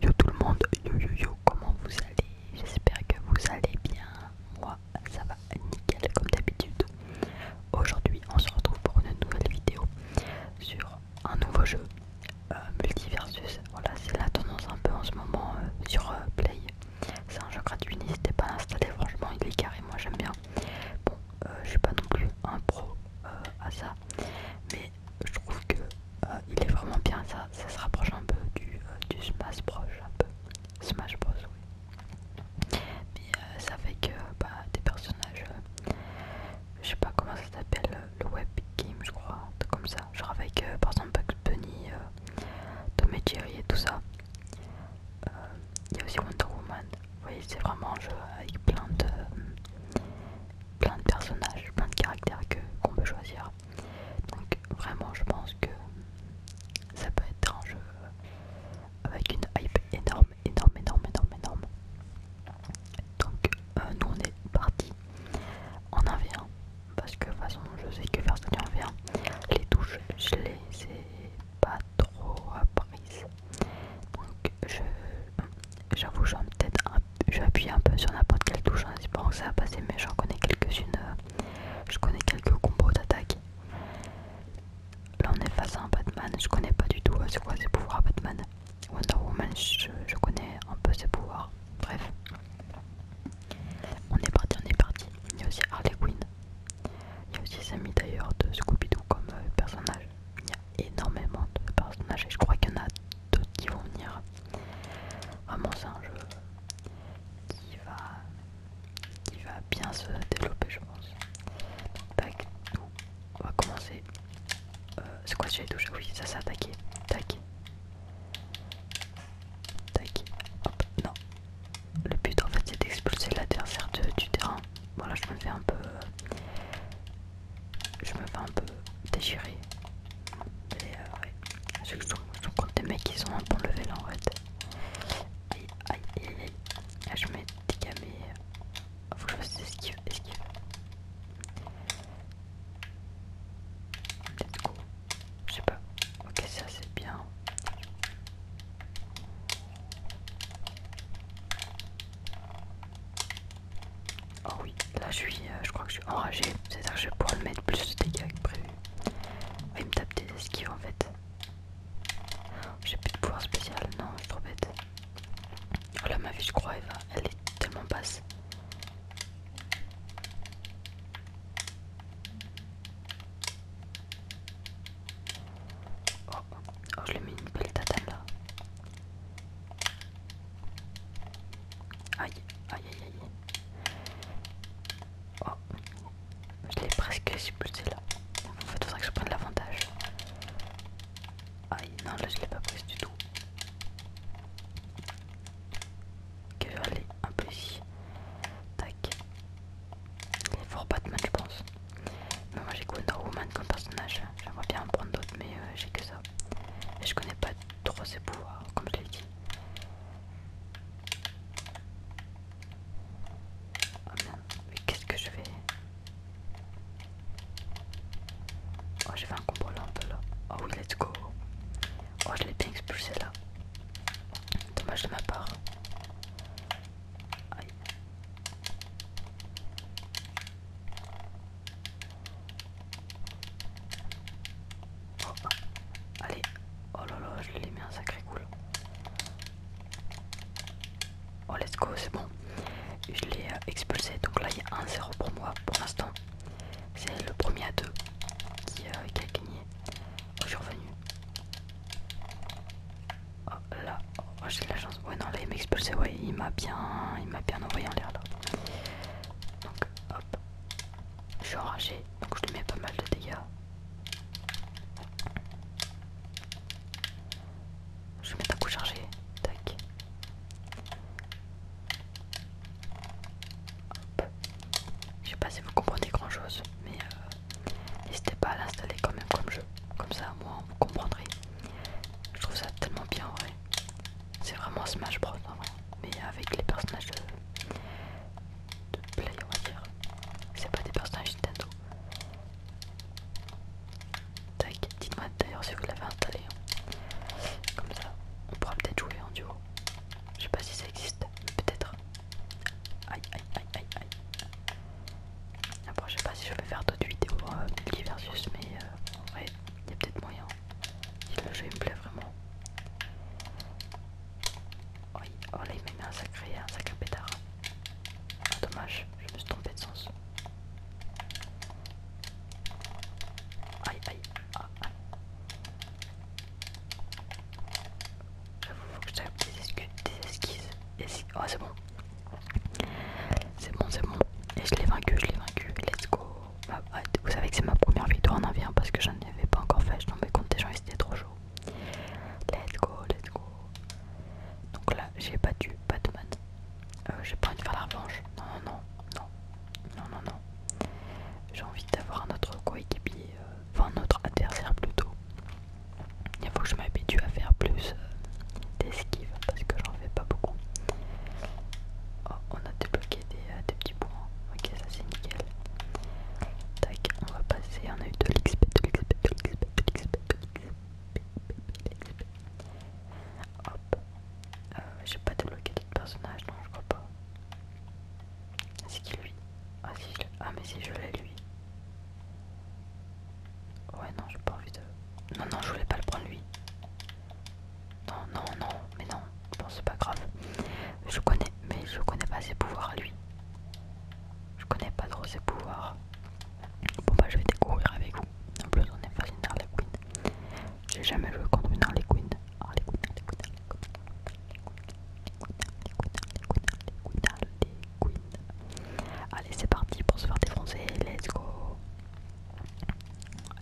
Yo tout le monde, yo yo yo, comment vous allez J'espère que vous allez bien. Moi, ça va nickel comme d'habitude. Aujourd'hui, on se retrouve pour une nouvelle vidéo sur un nouveau jeu euh, multiversus. Voilà, c'est la tendance un peu en ce moment euh, sur euh, Play. C'est un jeu gratuit, n'hésitez pas à l'installer. Franchement, il est carré, moi j'aime bien. Bon, je suis pas non plus un pro à ça, mais je trouve que euh, il est vraiment bien ça, ça se rapproche un peu du, euh, du Smash Bros un peu. Smash Bros oui. Mais euh, ça fait que bah, des personnages, je sais pas comment ça s'appelle, le web game je crois, comme ça. Genre avec par exemple Bugs Bunny, Tom et Jerry et tout ça. Il y a aussi Wonder Woman. Vous c'est vraiment un jeu avec plein de, plein de personnages, plein de caractères qu'on peut choisir. Donc vraiment je pense que ça peut être un jeu euh, avec une hype énorme, énorme, énorme, énorme, énorme. Donc euh, nous on est parti en vient. parce que de toute façon je sais que faire ça les touches je les ai pas trop apprises donc j'avoue je, ai peut-être un J'appuie un peu sur n'importe quelle touche en hein, que ça va passer, mais j'en connais quelques-unes. Euh, je connais quelques combos d'attaque. Là, on est face à un Batman, je connais pas du tout euh, quoi ses pouvoirs Batman. Wonder Woman, je, connais un peu ses pouvoirs. Bref, on est parti, on est parti. Il y a aussi Harley Quinn. Il y a aussi Samy d'ailleurs de Scooby-Doo comme euh, personnage énormément de personnages et je crois qu'il y en a d'autres qui vont venir. Vraiment c'est un jeu qui va, bien se développer je pense. Tac, on va commencer. Euh, c'est quoi j'ai touché Oui ça s'est attaqué. Tac. Tac. Non. Le but en fait c'est d'expulser l'adversaire du terrain. Voilà je me fais un peu je me fais un peu déchirer. Mais euh, Je, trouve des mecs qui sont un bon level en fait. Aïe aïe aïe aïe. Là, je mets des Faut que je fasse aïe, aïe, Je sais pas. Ok, ça c'est bien. Oh oui, là je suis, euh, je crois que je suis enragé, c'est-à-dire que je vais pouvoir le mettre plus de dégâts que prévu. il me tape des esquives en fait. Oh, j'ai plus de pouvoir spécial, non, je suis trop bête. Oh là, ma vie, je crois, elle, va, elle est tellement basse. Oh, oh je lui ai mis une belle tatane là. Aïe, aïe, aïe, aïe. Oh, je l'ai presque expulsé là. En fait, il faudrait que je prenne l'avantage. Aïe, non, là je l'ai pas prise du tout. Que je vais un peu ici. Tac. Il est fort Batman, je pense. Mais moi j'ai que Wonder Woman comme personnage. J'aimerais bien en prendre d'autres, mais euh, j'ai que ça. Et je connais pas Trois, c'est comme je l'ai dit. Oh merde, mais qu'est-ce que je vais. Oh, j'ai fait un combo là là. Oh oui, let's go. Oh, je l'ai bien expulsé là. Dommage de ma part. Aïe. Oh, allez, oh là là, je l'ai mis un sacré cool. Oh let's go, c'est bon. Je l'ai euh, expulsé, donc là il y a 1-0 pour moi pour l'instant. C'est le premier à 2 euh, qui, a gagné. Oh, je suis revenu. Oh là, oh, j'ai de la chance. Ouais non là il m'a expulsé, ouais il m'a bien, il m'a bien envoyé en l'air là. Donc, Hop. Je suis enragé, donc je lui mets pas mal de dégâts. Je mets mettre un coup chargé. Tac. Hop. Je sais pas si vous comprenez grand chose, mais euh, n'hésitez pas à l'installer quand même comme jeu. Comme ça, moi, vous comprendrez. Je trouve ça tellement bien en vrai. C'est vraiment Smash Bros. En hein, vrai. Mais avec les personnages de, Play, on va dire. C'est pas des personnages Nintendo. Tac, dites-moi d'ailleurs si vous l'avez installé. Hein. Comme ça, on pourra peut-être jouer en duo. Je sais pas si ça existe, mais peut-être. Aïe, aïe, aïe, aïe, aïe. Après, je sais pas si je vais faire d'autres vidéos de euh, Versus, mais euh, il y a peut-être moyen. Si le jeu il me plaît vraiment. Oui, oh, oh là il m'a mis un sacré, un à pétard. Ah, dommage, je me suis trompé de sens. Aïe aïe, ah, ah. J'avoue, faut que je tape des, des esquisses. oh, c'est bon. C'est bon, c'est bon. Et je l'ai vaincu, je l'ai vaincu. Let's go. Ah, vous savez que c'est ma première vidéo en avion parce que j'en avais pas encore fait. Je tombais contre des gens et c'était trop chaud. Let's go, let's go. Donc là, j'ai battu Batman. Euh, j'ai pas envie de faire la revanche. Non, non, non, non, non, non, non. J'ai envie d'avoir un autre coéquipier, euh, enfin un autre adversaire plutôt. Il faut que je m'habitue à faire plus euh, d'esquive parce que j'en pas beaucoup. Oh, on a débloqué euh, des, petits points. Ok, ça c'est nickel. Tac, on va passer. On a eu de l'XP, de l'XP, de l'XP, de l'XP, de l'XP. Hop. Euh, j'ai pas débloqué d'autres personnage non, je crois pas. C'est qui lui ah, ah, mais si je l'ai lui. Ouais, non, j'ai pas envie de. Non, non, je voulais pas le prendre lui. Non, non, non, mais non, bon c'est pas grave. Je connais, mais je connais pas ses pouvoirs lui. Je connais pas trop ses pouvoirs. Bon bah je vais découvrir avec vous. En plus on est face à une Harley Quinn. J'ai jamais joué contre une Harley Quinn. Harley Quinn, Harley Quinn, Harley Quinn. Harley Quinn, Harley Quinn, Harley Quinn. Allez c'est parti pour se faire défoncer, let's go.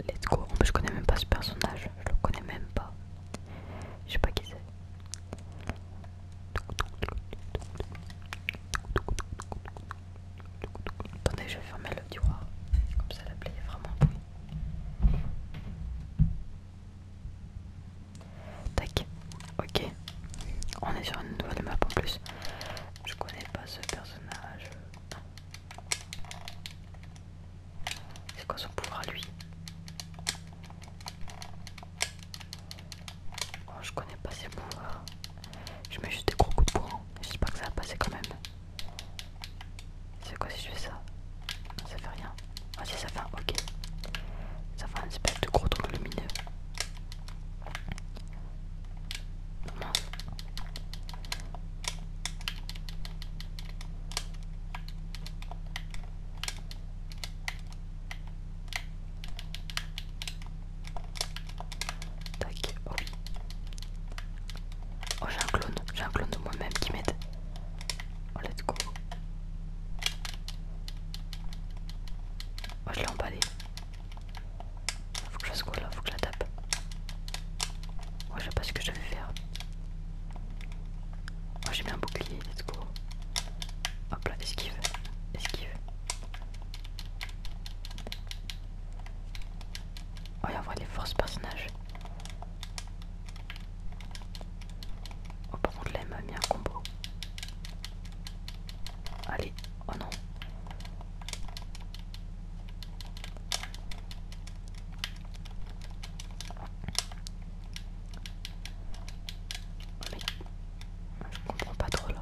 Let's go. En plus, je connais même pas ce personnage. Je le connais même pas. Je sais pas qui c'est. Attendez, je vais fermer le tiroir. Comme ça, la plaie est vraiment Tac. Ok. On est sur une nouvelle map en plus. Je connais pas ce personnage. C'est quoi son pouvoir à lui oh, Je connais pas ses pouvoirs. Je mets juste des gros coups de poing. pas que ça va passer quand même. C'est quoi si je fais ça Ça fait rien. Ah si ça fait un ok. Ça fait un espèce de gros truc lumineux. Tac, oh oui. Oh, j'ai un clone, j'ai un clone de moi-même qui m'aide. Oh, let's go. Oh je l'ai emballé. Faut que je fasse quoi là Faut que je la tape. Moi je sais pas ce que je vais faire. Moi j'ai bien un bouclier, let's go. Hop là, esquive. Esquive. Oh, il y a vraiment forces personnages. Oh, par contre, là, il m'a mis un combo. Allez, oh non je comprends pas trop là.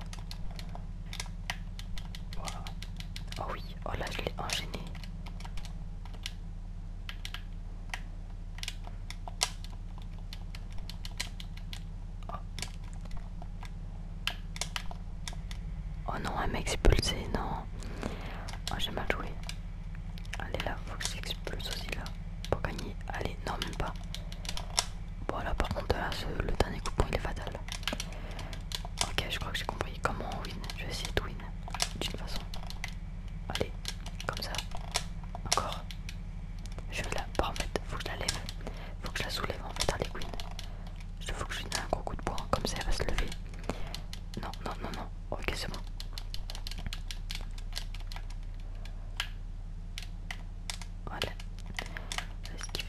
Oh oui, oh là je l'ai enchaîné. Oh. oh non, elle m'a expulsé, non. Oh, j'ai mal joué. Allez, là, faut que s'expulse aussi là. Pour gagner. Allez, non, même pas. Bon, par contre, là, le dernier coupon il est fatal. Ok, je crois que j'ai compris comment on win. Je vais essayer de win d'une façon. Allez, comme ça. Encore. Je vais la. Bon, en fait, faut que je la lève. Faut que je la soulève en fait. Allez, win. Il faut que je lui donne un gros coup de poing, comme ça elle va se lever. Non, non, non, non. Ok, c'est bon. Voilà. C'est ce qu'il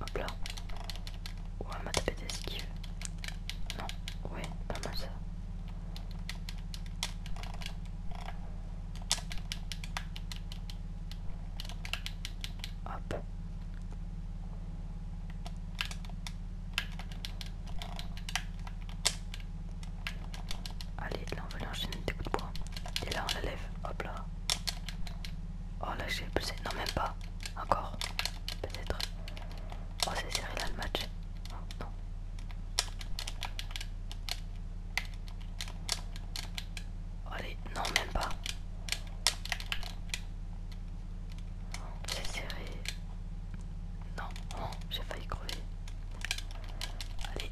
Hop là. Ouais, m'a tapé d'esquive. Non, ouais, pas mal ça. Hop. Allez, là on va l'enchaîner des coups de poing, Et là on la lève. Hop là. Oh là j'ai poussé, Non même pas. Encore. Peut-être. Oh c'est serré là le match. non. Allez, non, même pas. C'est serré. Non, non, j'ai failli crever. Allez.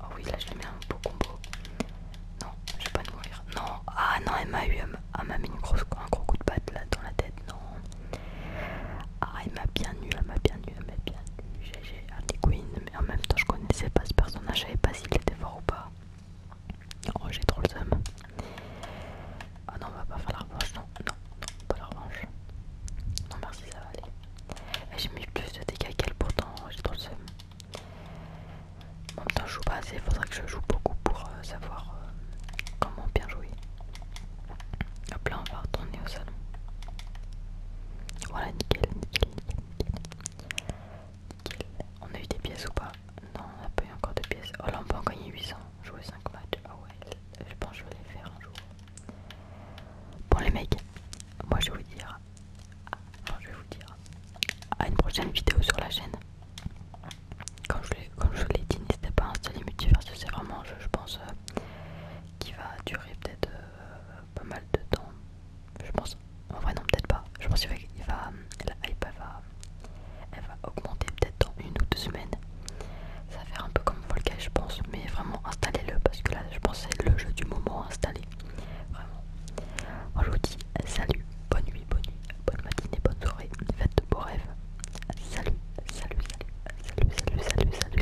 Oh oui, là je lui mets un beau combo. Non, je vais pas mourir. Non, ah non, elle m'a eu, elle m'a mis une grosse, un gros coup de patte dans la tête. Non. Ah, elle m'a bien eu, elle m'a bien eu, elle m'a bien eu j'ai Queen, mais en même temps je connaissais pas ce personnage, je savais pas s'il était fort ou pas. Oh j'ai trop le seum. Ah non, on va pas faire la revanche, non, non, non, pas la revanche. Non merci, ça va aller. Eh, j'ai mis plus de dégâts qu'elle, pourtant j'ai trop le seum. En même temps je joue pas assez, faudrait que je joue beaucoup pour euh, savoir euh, comment bien jouer. Hop là, on va retourner au salon. Voilà, nickel, nickel, nickel, nickel. On a eu des pièces ou pas Non, on a pas eu encore de pièces. Oh là, on peut en gagner 800. Jouer 5 matchs. Ah ouais, je pense que je vais les faire un jour. Bon, les mecs, moi je vais vous dire. Ah, je vais vous dire. À une prochaine vidéo sur la chaîne. quand je vous l'ai dit, n'hésitez pas à installer Multiverse. C'est vraiment un jeu, je pense, euh, qui va durer peut-être. Euh, euh, pas mal de temps. Je pense, en vrai non peut-être pas. Je pense qu'il va, la hype va, elle va augmenter peut-être dans une ou deux semaines. Ça va faire un peu comme Volcaï je pense, mais vraiment installez-le parce que là je pense c'est le jeu du moment installé. Vraiment. je vous dis salut, bonne nuit, bonne nuit, bonne matinée, bonne soirée, faites de beaux rêves. salut, salut, salut, salut, salut, salut. salut.